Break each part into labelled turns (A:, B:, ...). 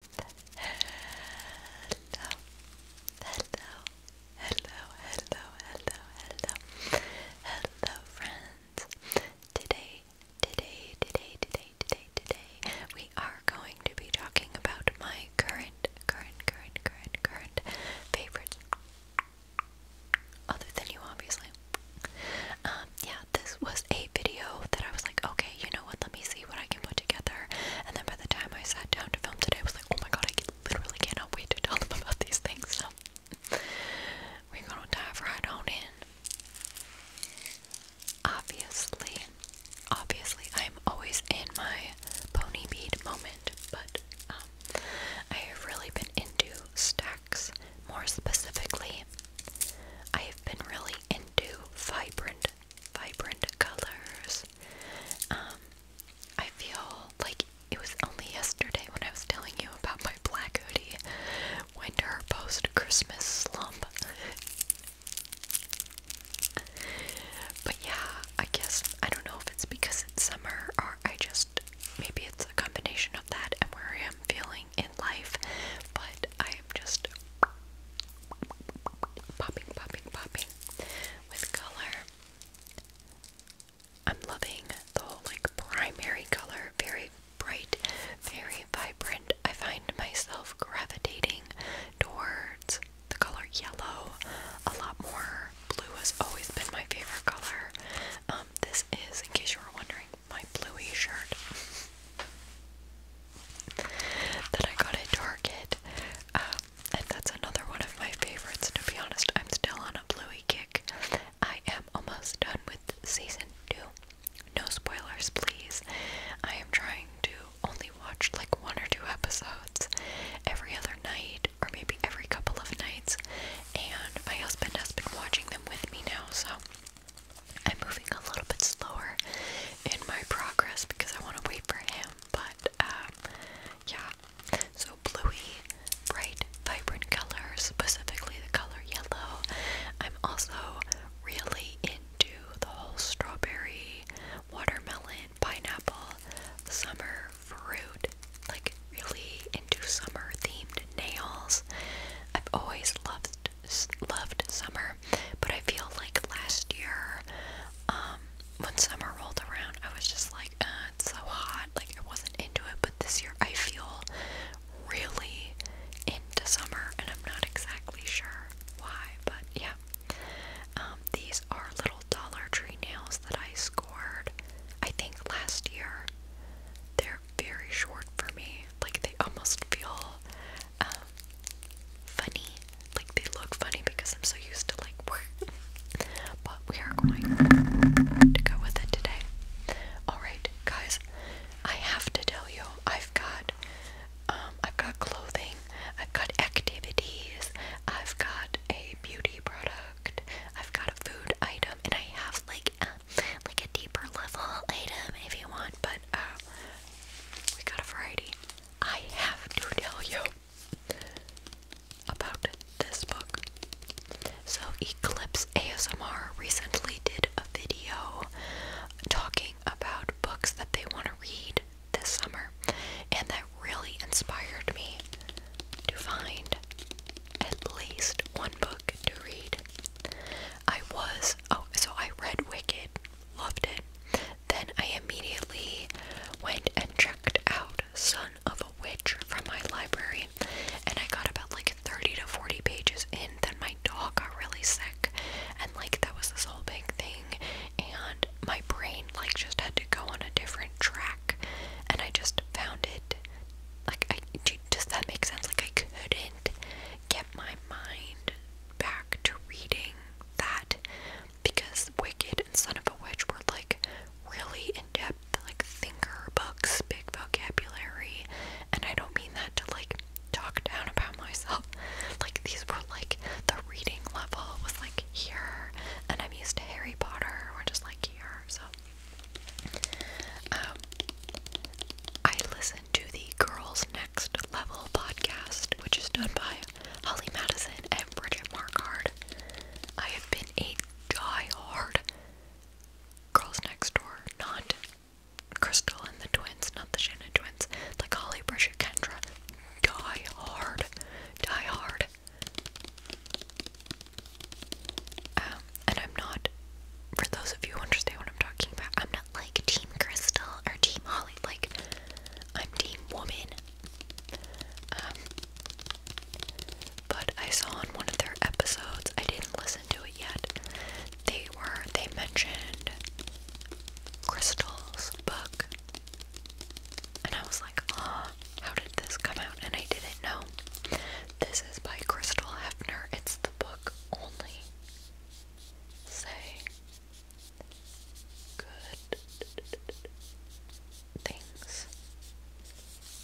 A: Hello, hello, hello, hello, hello, hello, hello, friends. Today, today, today, today, today, today, we are going to be talking about my current, current, current, current, current favorite. Other than you, obviously. Um, yeah, this was a video that I was like, okay, you know what? Let me see what I together. And then by the time I sat down to film today, I was like, oh my god, I literally cannot wait to tell them about these things. So we're gonna dive right on in. Obviously, obviously, I'm always in my pony bead moment, but um, I have really been into stacks. More specifically, I have been really into vibrant vibrant colors. Um, I feel like it was only yesterday when I was telling you about my black hoodie winter post Christmas slump. but yeah, I guess I don't know if it's because it's summer or I just maybe it's a combination of that and where I am feeling in life, but I am just popping, popping, popping with color. I'm loving the whole like primary color, very bright, very vibrant. I find myself gravitating towards the color yellow a lot more. Blue has always been my favorite color. Um, this is, in case you were wondering, my bluey shirt that I got at Target. Um, and that's another one of my favorites, to be honest. I'm still on a Bluey kick. I am almost done with season two. No spoilers, please. I am trying to only watch like one or two episodes every other night, or maybe every couple of nights. And my husband has been watching them with me now, so I'm moving a little bit slower in my progress because I want to wait for him. But um, yeah, so bluey, bright, vibrant color, specifically the color yellow. I'm also really into the whole strawberry, watermelon, pineapple, summer fruit. Like really into summer themed nails. I've always loved loved summer. But I feel like last year, um, when summer rolled around, I was just like, uh, it's so hot. Like, I wasn't into it. But this year, I feel really into summer, and I'm not exactly sure why. But yeah. Um, these are little Dollar Tree nails that I scored, I think, last year. They're very short for me. Like, they almost feel um, funny. Like they look funny because I'm so used to like work. but we are going to go with it today. Alright, guys, I have to tell you, I've got um, I've got clothing, I've got activities, I've got a beauty product, I've got a food item, and I have like a, like a deeper level item if you want, but uh, we got a variety. I have to tell you about this book. So, Eclipse ASMR recently did a video talking about books that they want to read this summer, and that really inspired me to find at least one book to read. I was, oh, so I read Wicked, loved it. Then I immediately went and checked out Son of a Witch from my library, and I got about like 30 to 40 pages in. Then my dog got really sick, and like that was this whole big thing, and my brain like just had to go on a different track, and I just found it like I does that make sense? Like I couldn't get my mind back to reading that because Wicked and Son of a Witch were like really in depth, like thinker books, big vocabulary. And I don't mean that to like talk down about myself. Like, these were like the reading level was like here, and I'm used to Harry Potter, or just like here. So, um, I listened to the Girls Next Level podcast, which is done by Holly Madison, and Bridget Markard. I have been a die-hard Girls Next Door, not Crystal and the twins, not the Shannon twins, like Holly, Bridget, Kendra. Die hard. Die hard. Um, and I'm not, for those of you who understand what I'm talking about, I'm not like Team Crystal or Team Holly. Like, I'm Team Woman. Um, but I saw on one of their episodes, I didn't listen to it yet. They were, they mentioned Crystal's book. And I was like, oh, how did this come out? And I didn't know. This is by Crystal Hefner. It's the book only. Say good things.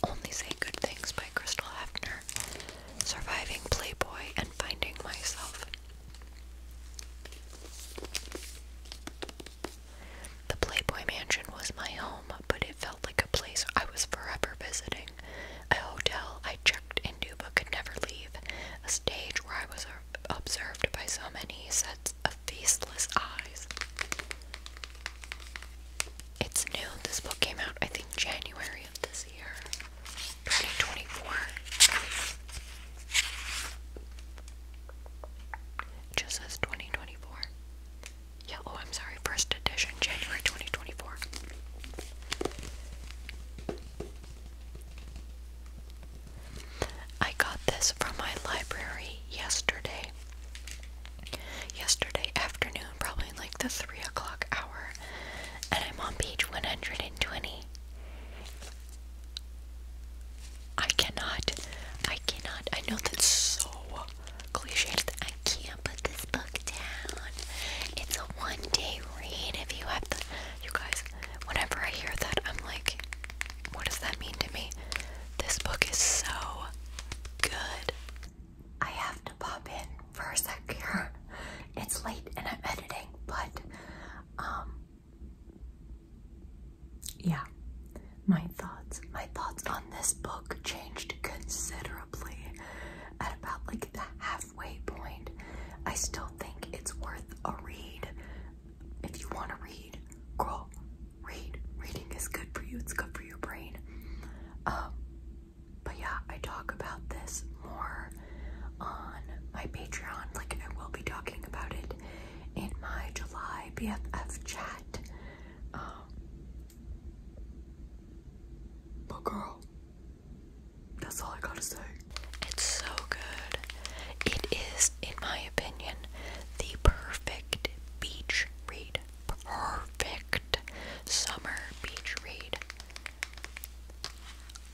A: Only Say Good Things by Crystal Hefner. Surviving Playboy and Finding Myself. The Playboy Mansion was my home, but it felt like a place I was forever visiting. A hotel I checked into but could never leave. A stage where I was observed by so many sets of faceless eyes. It's new. This book came out, I think, January of this year, 2024. just says 2024. Yeah, oh, I'm sorry. First edition, January 2024. I got this from my library yesterday. Yesterday afternoon, probably like the 3 o'clock hour, and I'm on page 120. I cannot, I cannot, I know that's so cliche, I can't put this book down. It's a one day read if you have the, you guys, whenever I hear that, I'm like, what does that mean to me? This book is so good. I have to pop in for a sec here. It's late and I'm editing, but um yeah. My thoughts, my thoughts on this book changed considerably at about like the halfway point. I still think it's worth a read if you want to read, girl, read. Reading is good for you. It's good for your brain. Um, but yeah, I talk about this more on my Patreon. Like I will be talking about it in my July BFF chat. Um, but girl, that's all I gotta say. It's so good. It is, in my opinion, the perfect beach read. Perfect summer beach read.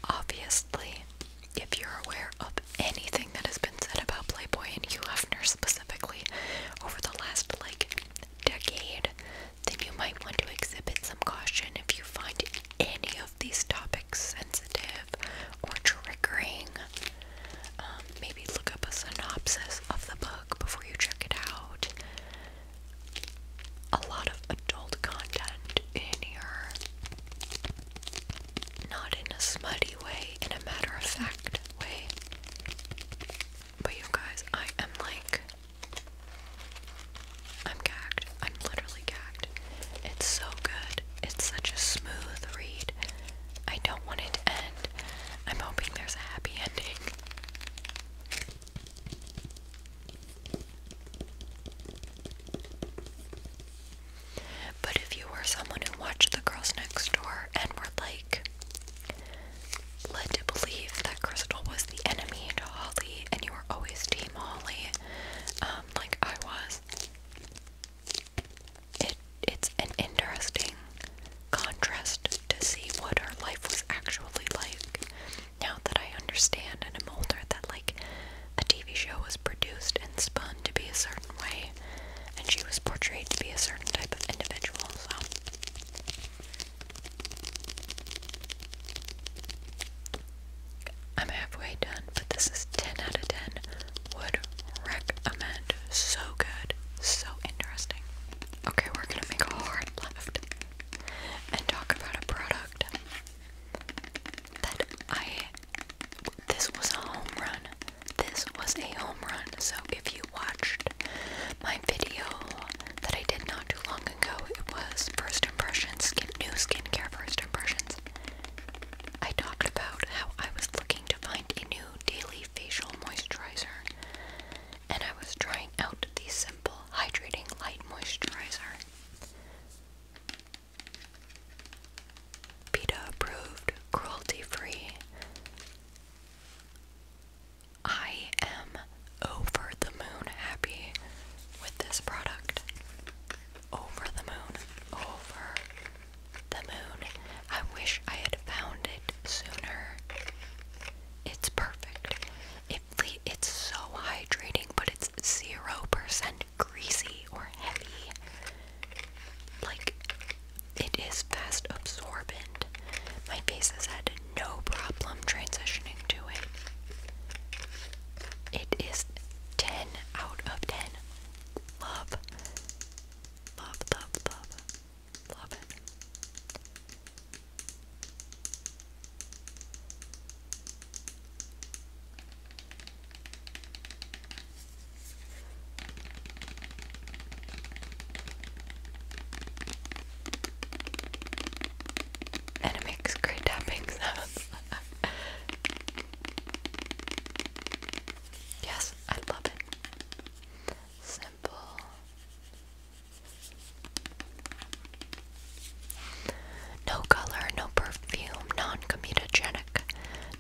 A: Obviously, if you're aware of anything that has been said about Playboy and Hugh Hefner specifically over the last like decade, then you might want to exhibit some caution if you find any of these topics sensitive or triggering um, maybe look up a synopsis of the book before you check it out. A lot of adult content in here. Not in a smutty way, in a matter of fact way. But you guys, I am like. I'm gagged. I'm literally gagged. It's so good. It's such a smooth read. I don't want it to end. I'm hoping there's a happy ending. But if you were someone who watched The Girls Next Door and were like led to believe that Crystal was the enemy to Holly and you were always Team Holly, um, like I was, it it's an interesting contrast to see what her life was actually like. Now that I understand and am older that like a TV show was produced and spun to be a certain way and she was portrayed to be a certain type of individual, so I'm halfway done, but this is 10 out of 10 would recommend. So good, so interesting. Okay, we're gonna make a hard left and talk about a product that I. This was a home run. This was a home run. So if you watched my video that I did not too long ago, it was first impressions, new skincare first impressions. I talked about how I was to find a new daily facial moisturizer, and I was trying out the Simple Hydrating Light Moisturizer. PETA approved, cruelty free. I am over the moon happy with this product. Over the moon. Over the moon. I wish I had found it sooner. It's perfect. it's so hydrating, but it's 0% greasy or heavy. Like, it is fast absorbent. My face has had no problem transitioning to it. It is 10 out of 10. Love. Love, love, love. Love it. And it makes great tapping sounds. yes, I love it. Simple. No color, no perfume, non comedogenic,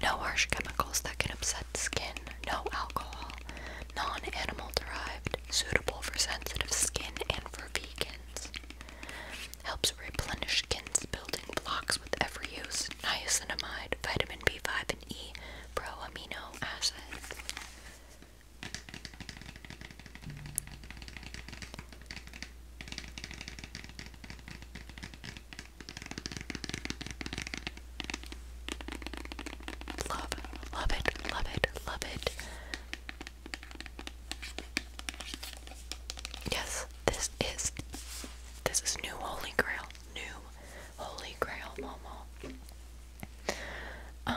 A: no harsh chemicals that can upset skin, no alcohol, non animal derived, suitable for sensitive skin and for vegans. Helps replenish skin's building blocks with every use, niacinamide, vitamin B. 5 and E pro amino acids. Love, love it, love it, love it. Yes, this is this is new holy grail. New Holy Grail Momo. Um,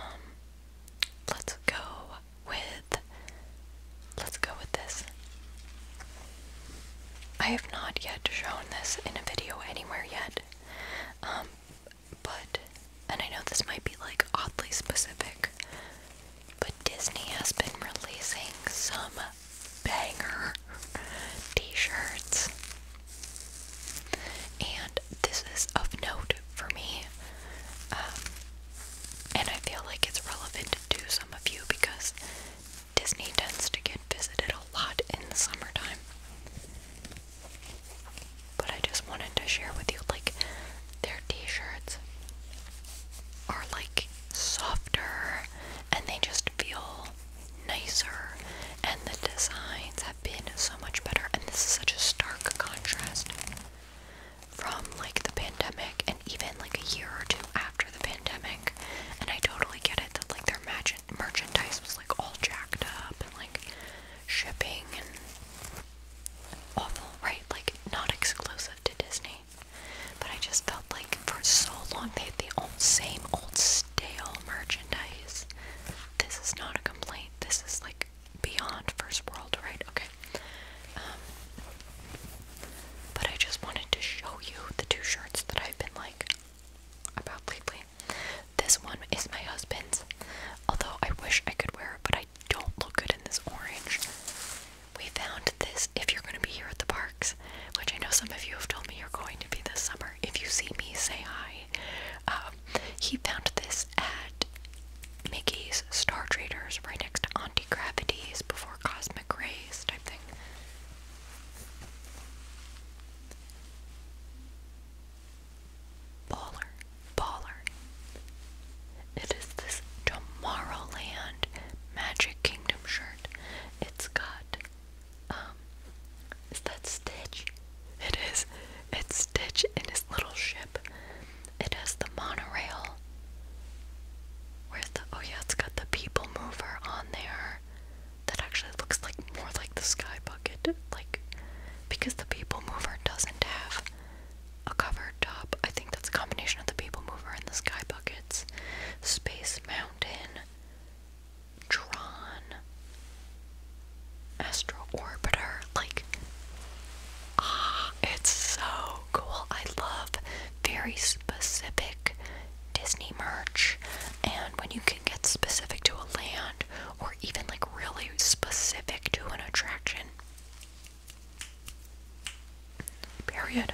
A: let's go with let's go with this. I have not yet shown this in a video anywhere yet. Um, but and I know this might be like oddly specific, but Disney has been releasing some banger t-shirts. And this is of note for me. Um, and I feel like it's relevant to some of you because Disney tends to get visited a lot in the summertime. But I just wanted to share with you like their t-shirts are like softer and they just feel nicer and the designs have been so much better and this is such a stark contrast from like the pandemic and even like a year or two after the pandemic and I totally get it that like their merch merchandise was like all jacked up and like shipping and awful right like not exclusive to Disney but I just felt like for so long they had the old same old stale merchandise. This is not a complaint. This is like beyond first world, right? Okay. Um, but I just wanted to show you the two shirts that I've been like about lately. This one is my husband's, although I wish I could wear it, but I don't look good in this orange. We found this if you're going to be here at the parks, which I know some of you have told me you're going to be this summer if you see me, say hi. Um, he found this at Mickey's Star Traders, right next to Anti Gravity's before Cosmic Rays type thing. Baller, baller. It is this Tomorrowland Magic Kingdom shirt. It's um, is that Stitch? It is. It's Stitch in his little ship. It has the monorail. Where's the. Oh, yeah, it's got the people mover on there. That actually looks like more like the sky bucket. Like, because the people mover doesn't have a covered top. I think that's a combination of the people mover and the sky buckets. Space Mountain. Tron Astro Like, ah, it's so cool. I love very specific Disney merch, and when you can get specific to a land or even like really specific to an attraction. Period.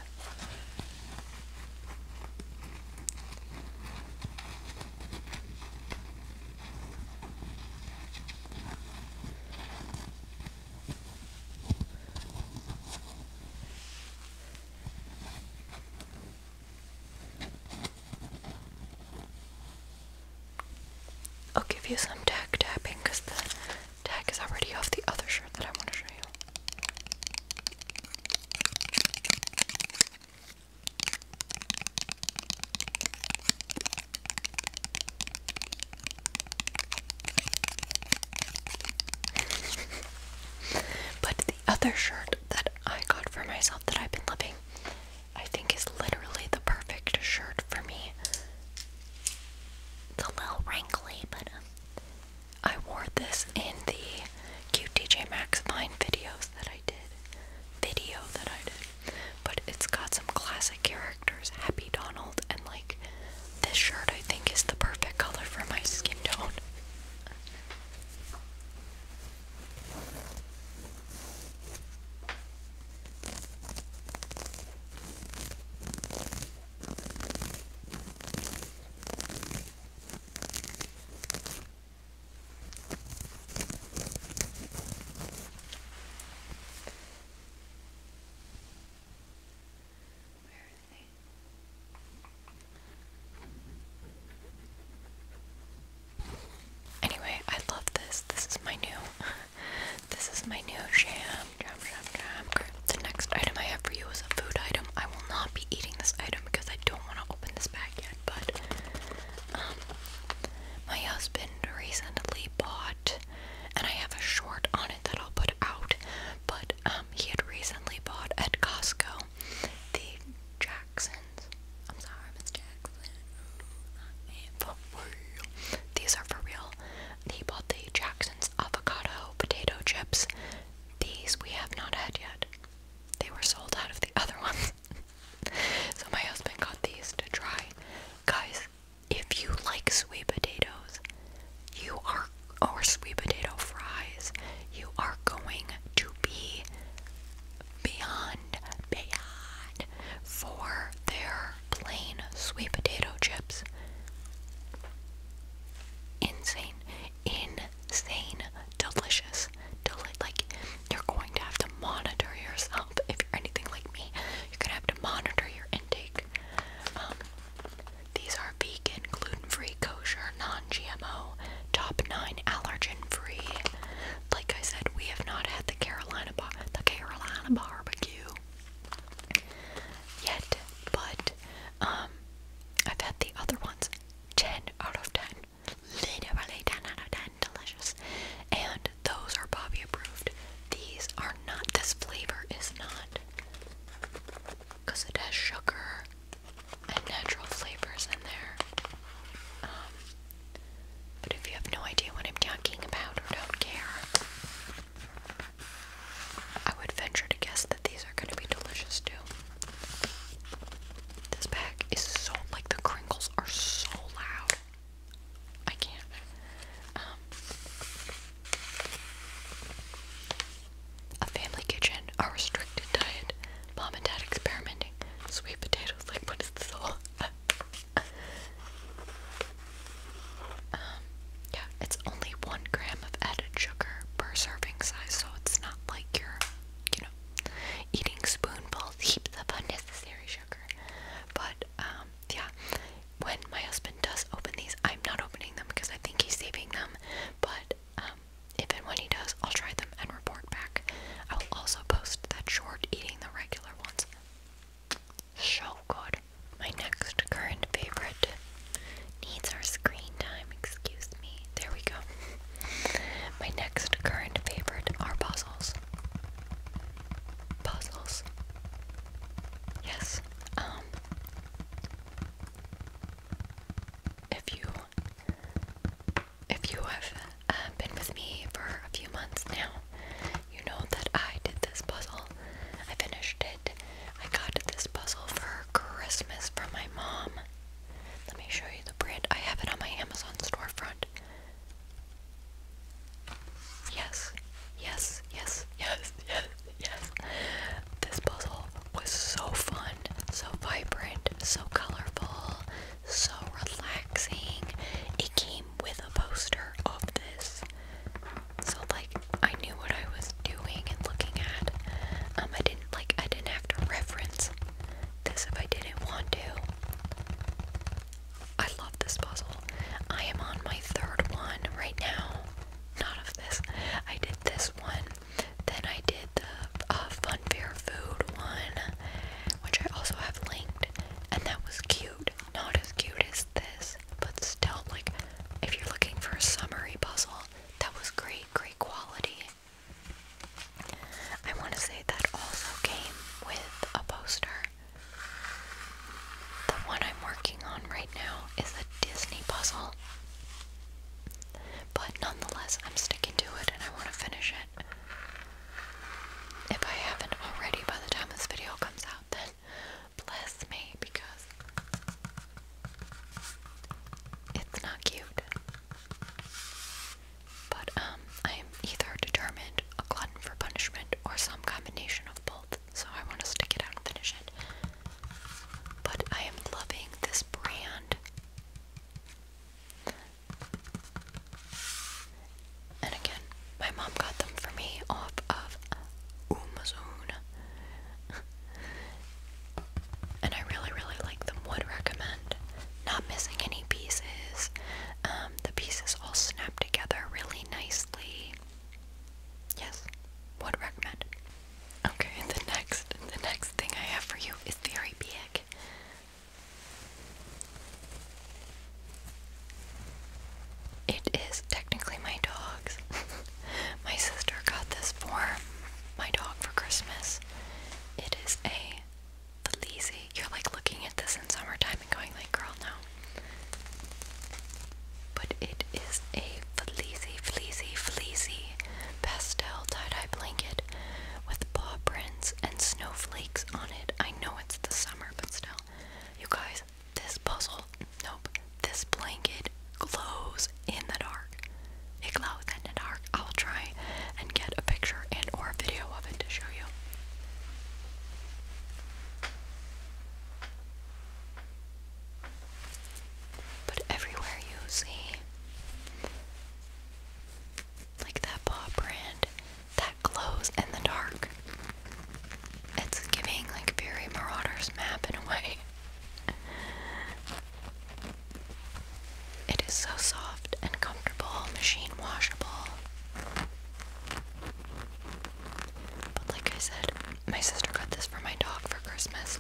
A: I'll give you some tag tapping because the tag is already off the other shirt that I want to show you but the other shirt that I got for myself that I've been loving, I think is literally the perfect shirt for me. It's a little wrinkly, but um, I wore this in the Cute DJ Maxx Vine videos that I did. Video that I did. But it's got some classic characters, Happy Donald, and like this shirt I think is the perfect color for my skin tone. Anyway, I love this. This is my new this is my new jam. Jam jam jam. The next item I have for you is a food item. I will not be eating this item because I don't want to open this bag yet but um, my husband recently bought, and I have a short on it that I'll put out, but um, he had recently bought at Costco the Jacksons. I'm sorry, Miss Jackson. These are for real. He bought the Jackson's avocado potato chips. These we have not had yet they were sold out of the other ones. so my husband got these to try. Guys, if you like sweet potatoes, you are or sweet potato fries, you are going to be beyond beyond for their plain sweet potato chips. Insane insane delicious. Deli like you're going to have to monitor yourself if you're anything like me. You're gonna have to monitor your intake. Um, these are vegan, gluten-free, kosher, non-GMO, top nine allergen-free. Like I said, we have not had the Carolina bar, the Carolina barbecue yet, but um, I've had the other ones. 10 out of 10. Literally 10 out of Delicious. And those are Bobby approved. These are not. This flavor is not. Because it has sugar and natural flavors in there. Um, but if you have no idea what I'm talking about or don't care, I would venture to guess that these are going to be delicious too. This bag is so like the crinkles are so loud. I can't. Um, a family kitchen, a restricted diet, mom and dad experimenting, sweet potatoes. Like what is this all? Um, yeah, it's only one gram of added sugar per serving size, so it's not like you're, you know, Eating spoonfuls heaps of unnecessary sugar. But um, yeah, when my husband does open these, I'm not opening them because I think he's saving them. But um, if when he does, I'll try them and report back. I will also post that short eating the regular ones. So good. My next current favorite needs our screen excuse me. There we go. My next current favorite are puzzles. Puzzles. Yes. Um if you if you have uh, been with me for a few months now, you know that I did this puzzle. I finished it. I got this puzzle for Christmas from my mom. Let me show you the brand. I have it on my Amazon storefront. Yes, yes, yes, yes, yes, yes. This puzzle was so fun, so vibrant, so colorful, so relaxing. It came with a poster of this. So like I knew what I was doing and looking at. Um I didn't like I didn't have to reference this if I didn't want to. I love this puzzle. I am on my third one right now. Not of this. I did this one. Then I did the uh, Fun Fair Food one, which I also have linked. And that was cute. Not as cute as this, but still, like, if you're looking for a summary puzzle, that was great, great quality. I want to say that also came with a poster. The one I'm working on right now is a Disney puzzle. But nonetheless, I'm sticking to it and I want to finish it. If I haven't already by the time this video comes out, then bless me because it's not cute. But um, I am either determined a glutton for punishment or some combination of both, so I want to stick it out and finish it. But I am loving this brand. And again, my mom got them for me off of Amazon and I really, really like them. Would recommend. Not missing any pieces. Um, the pieces all snap together really nicely. Yes, would recommend. Okay, the next, the next thing I have for you is very big. It is technically my dog's. my sister got this for my dog for Christmas. It is a the You're like looking at this in summertime and going like, girl, no. But it is a fleecy, fleecy, fleecy pastel tie-dye blanket with paw prints and snowflakes on it. I know it's the summer, but still. You guys, this puzzle, nope, this blanket glows in the dark. Iglo Within the Dark. I'll try and get a picture and or a video of it to show you. But everywhere you see like that paw print that glows in the dark. It's giving like very Marauders map in a way. It is so soft and comfortable, machine washable. But like I said, my sister got this for my dog for Christmas,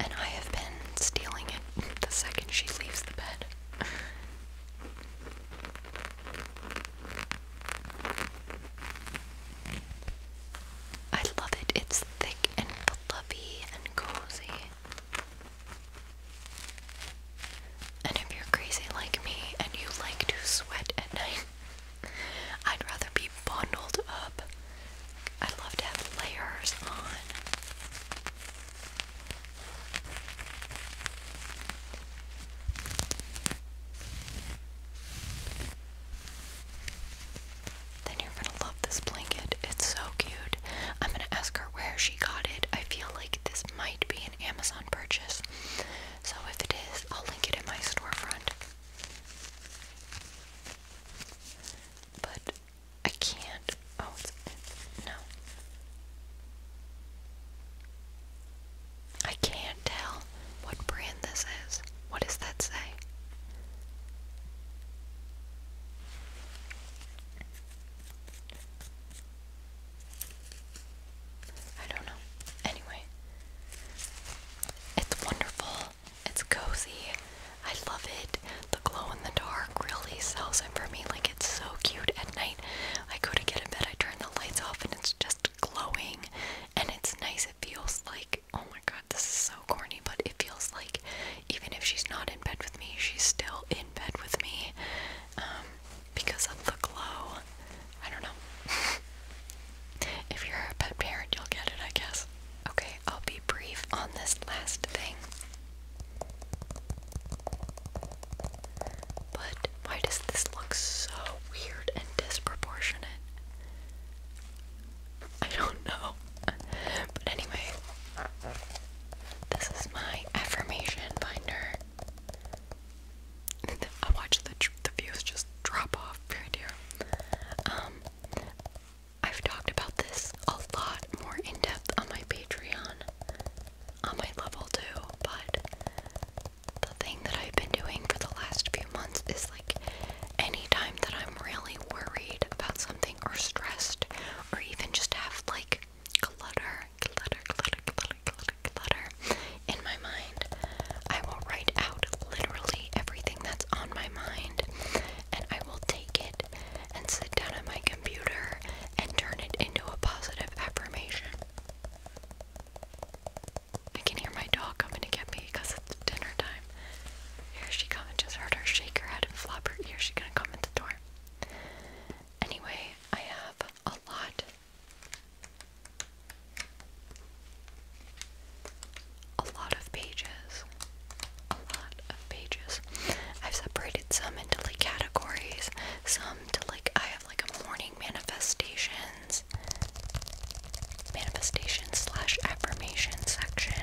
A: and I have been stealing it the second she leaves the bed. I love it. It's thick and fluffy and cozy. And if you're crazy like me and you like to sweat at night, I'd rather be bundled up. I love to have layers on. Then you're gonna love this blanket. It's so cute. I'm gonna ask her where she got it. I feel like this might be an Amazon purchase. So if it is, I'll link it in my storefront. But I can't. Oh, no. I can't tell what brand this is. What does that say? I don't know. Anyway, it's wonderful. It's cozy. I love it. The glow in the dark really sells it for me. Like, it's so cute at night. I go to get in bed, I turn the lights off, and it's just glowing. And it's nice. It feels like, oh my god, this is so corny, but it feels like even if she's not in bed with me, she's still in bed with me. Um, because of the glow. I don't know. if you're a pet parent, you'll get it, I guess. Okay, I'll be brief on this last thing. But why does this look so weird and disproportionate? I don't know. But anyway, this is my affirmation binder. I watch the views just drop off right Um, I've talked about this a lot more in depth on my Patreon, on my level too. But the thing that I've been doing for the last few months is like, anytime that I'm really worried about something or stressed, or even just have like clutter, clutter, clutter, clutter, clutter, clutter in my mind. I will write out literally everything that's on my mind and I will take it and sit down at my computer and turn it into a positive affirmation. I can hear my dog coming to get me because it's dinner time. Here she comes. I just heard her shake her head and flop her ears. She's gonna come at the door. Anyway, I have a lot, a lot of pages, a lot of pages. I've separated some into like categories, some to like, I have like a morning manifestations, manifestation slash affirmation section.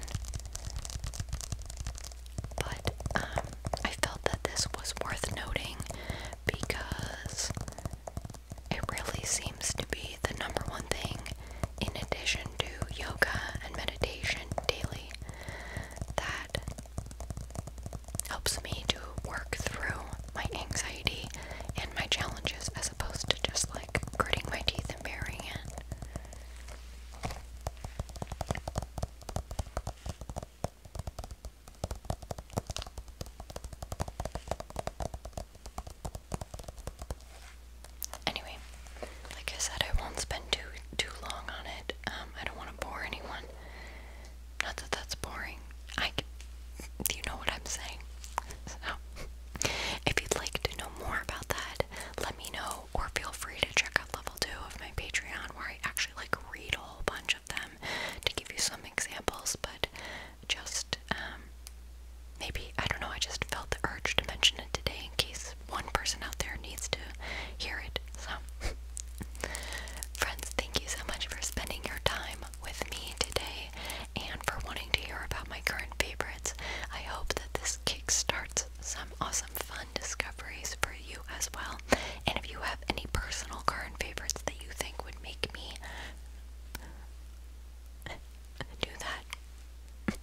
A: But um, I felt that this was worth noting because it really seems to be the number one thing, in addition to yoga and meditation daily, that helps me to work through my anxiety and my challenges as opposed to just like gritting my teeth and bearing it. Anyway, like I said, I won't spend too too long on it. Um, I don't want to bore anyone. Not that that's boring. I, you know what I'm saying? So, if you'd like to know more about that, let me know, or feel free to check out level two of my Patreon, where I actually like read a whole bunch each of them to give you some examples, but just um, maybe, I don't know, I just felt the urge to mention it today in case one person out there needs to hear it. So, friends, thank you so much for spending your time with me today and for wanting to hear about my current favorites. I hope that this kickstarts some awesome fun discoveries for you as well. And if you have any personal current favorites that you think would make me do that,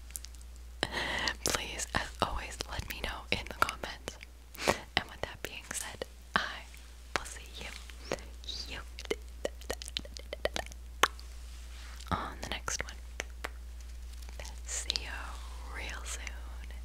A: please, as always, let me know in the comments. And with that being said, I will see you, on the next one. See you real soon.